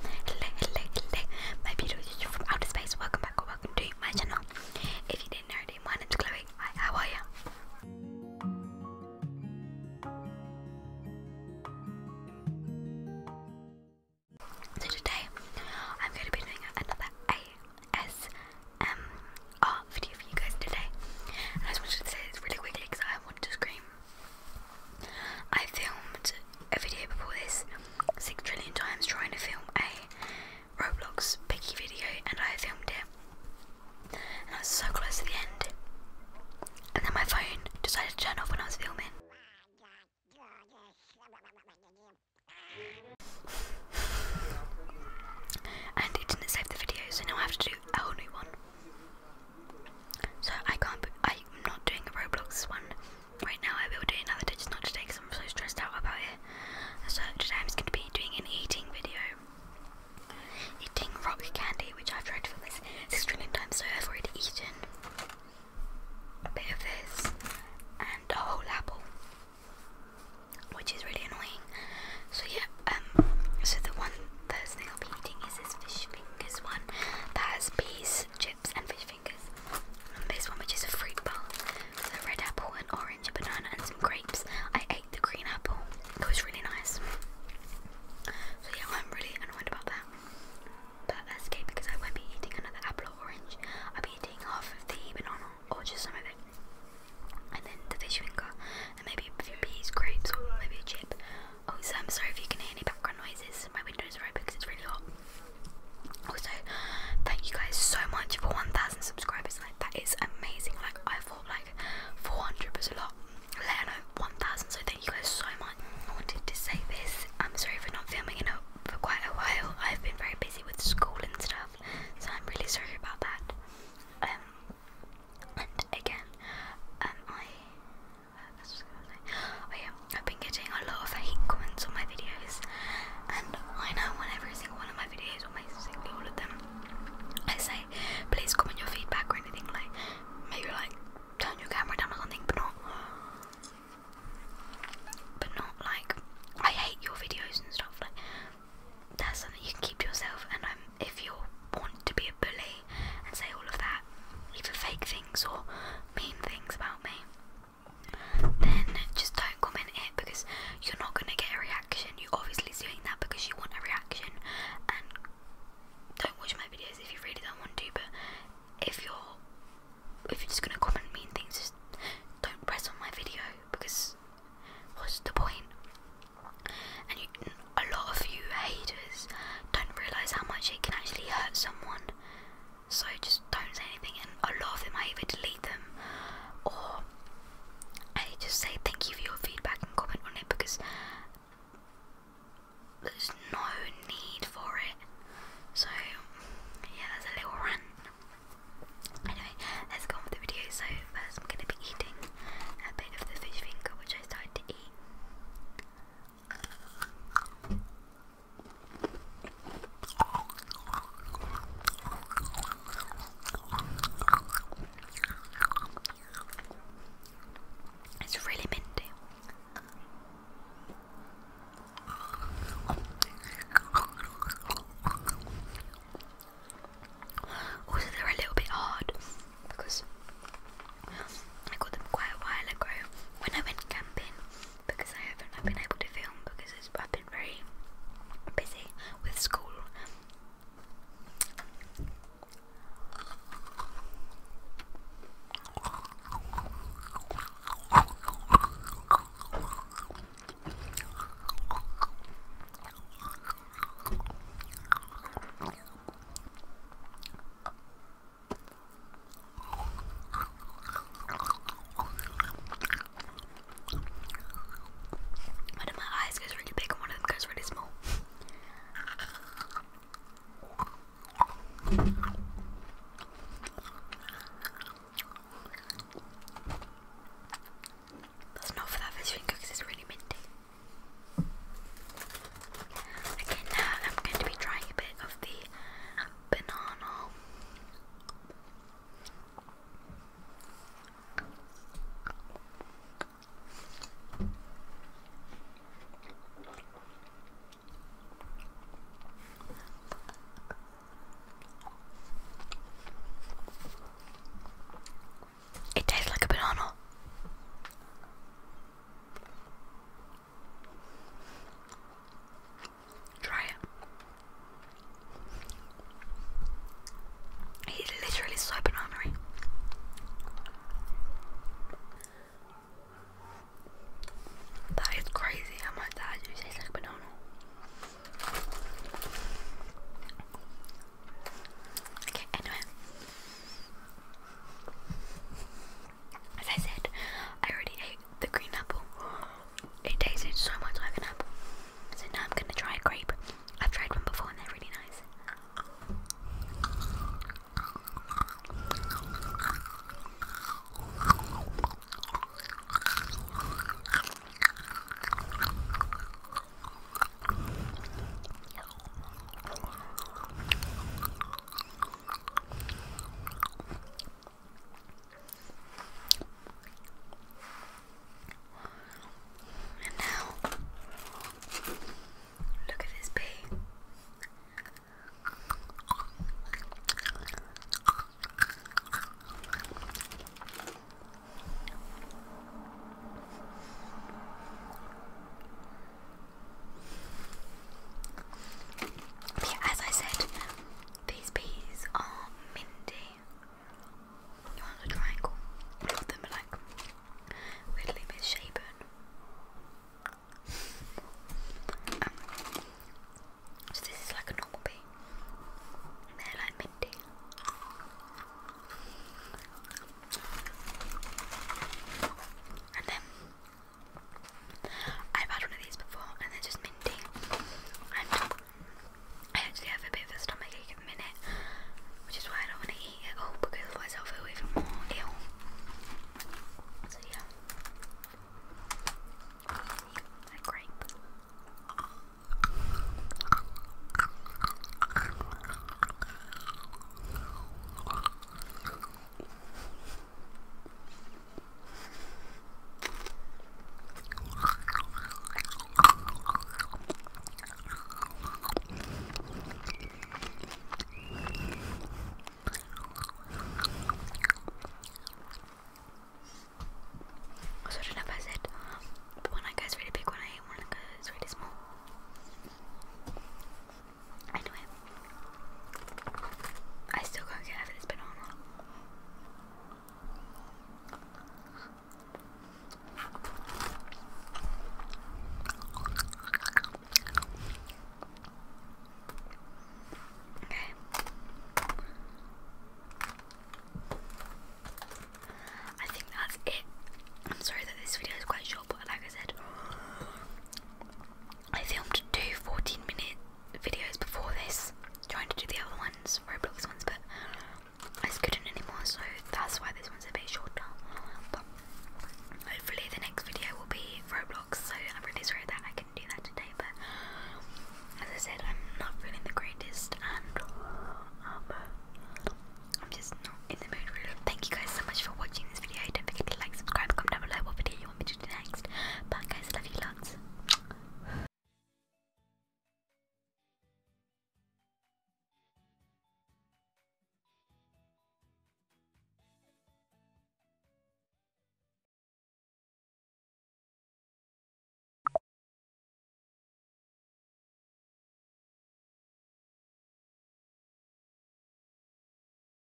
Hello, hello, hello, my beautiful YouTube from outer space. Welcome back or welcome to my channel. If you didn't already, my name's Chloe. how are you? So today, I'm going to be doing another ASMR video for you guys today. I just wanted to say this really quickly because I want to scream I filmed a video before this six trillion times trying to film a Roblox picky video and I filmed it and I was so close to the end and then my phone decided to turn off when I was filming. and it didn't save the video so now I have to do a whole new one. So I can't, I'm not doing a Roblox one right now I will do another day, just not today I'm so stressed out about it. So today I'm going to be doing an eating video. Eating rock candy, which I've tried for this six trillion times, so I've already eaten a bit of this and a whole apple, which is really annoying. So yeah, um, so the one first thing I'll be eating is this fish fingers one that has peas chips, and fish fingers. And this one which is a fruit bowl with a red apple, an orange, a banana and some grapes. I ate the green apple. It was really nice. So yeah, I'm really annoyed about that. But that's okay because I won't be eating another apple or orange. I'll be eating half of the banana or just some of it. And then the fish finger and maybe a few peas, grapes or maybe a chip. Also, I'm sorry if you can hear any background noises. My window is open because it's really hot. Also, thank you guys so much for 1,000 subscribers. Like that is amazing. Like I thought like 400 was a lot. Let alone 1,000. So thank you guys so much. I wanted to say this. I'm sorry for not filming it for quite a while. I've been very busy with school and stuff, so I'm really sorry about that. Um, and again, um, I I have oh, been getting a lot of hate comments on my videos, and I know on every single one of my videos, or my single all of them, I say, please comment your feedback or anything like, maybe like turn your camera down or something, but not, but not like I hate your videos and stuff. Like that's something you can keep to yourself, and um, if you want to be a bully and say all of that, either fake things or mean things about me, then just don't comment it because you're not going to get a reaction. You're obviously doing that because you want a reaction. And don't watch my videos if you really don't want to, but if you're if you're just going to comment mean things, just don't press on my video because what's the point? And a lot of you haters don't realise how much it can actually hurt someone so just don't say anything and a lot of them I either delete them or I just say thank you for your feedback and comment on it because there's no need for it. So yeah, that's a little rant. Anyway, let's go on with the video. So first I'm gonna be eating a bit of the fish finger which I started to eat. It's really minty. Also, they're a little bit hard because I got them quite a while ago when I went camping because I haven't been able to film because it's, I've been very busy with school. One of my eyes goes really big and one of them goes really small. That's not for that fish finger because it's really minty. Again, now I'm going to be trying a bit of the banana. It tastes like a banana. Try it. He's literally so banana That is crazy how much that actually like banana. Okay, anyway. As I said, I already ate the green apple. It tasted so much like an apple. So now I'm gonna try a grape. I've tried one before and they're really nice. And now, look at this bee. Yeah, as I said, these peas are Mindy. You're a triangle. All of them are like weirdly misshapen. Um, so this is like a normal pea. they're like minty. And then I've had one of these before and they're just minty. And I actually have a bit of a stomach ache at the minute, which is why I don't want to eat it all because otherwise I'll feel even more ill. So yeah. That grape. Also, I don't know I said, but one eye guy's really big, one eye, one eye guy's really small. I I still can't get out of this banana. Okay. I think that's it. I'm sorry that this video is quite short, but like I said, I filmed two 14 minute videos before this, trying to do the other ones, Roblox ones, but I couldn't anymore, so that's why this one's a bit shorter. But hopefully, the next video will be Roblox, so I'm really sorry that I couldn't do that today, but as I said, I'm not feeling the greatest, and um, I'm just not in the mood really. Thank you guys so much for watching this video. Don't forget to like, subscribe, comment down below what video you want me to do next. Bye guys, love you lots.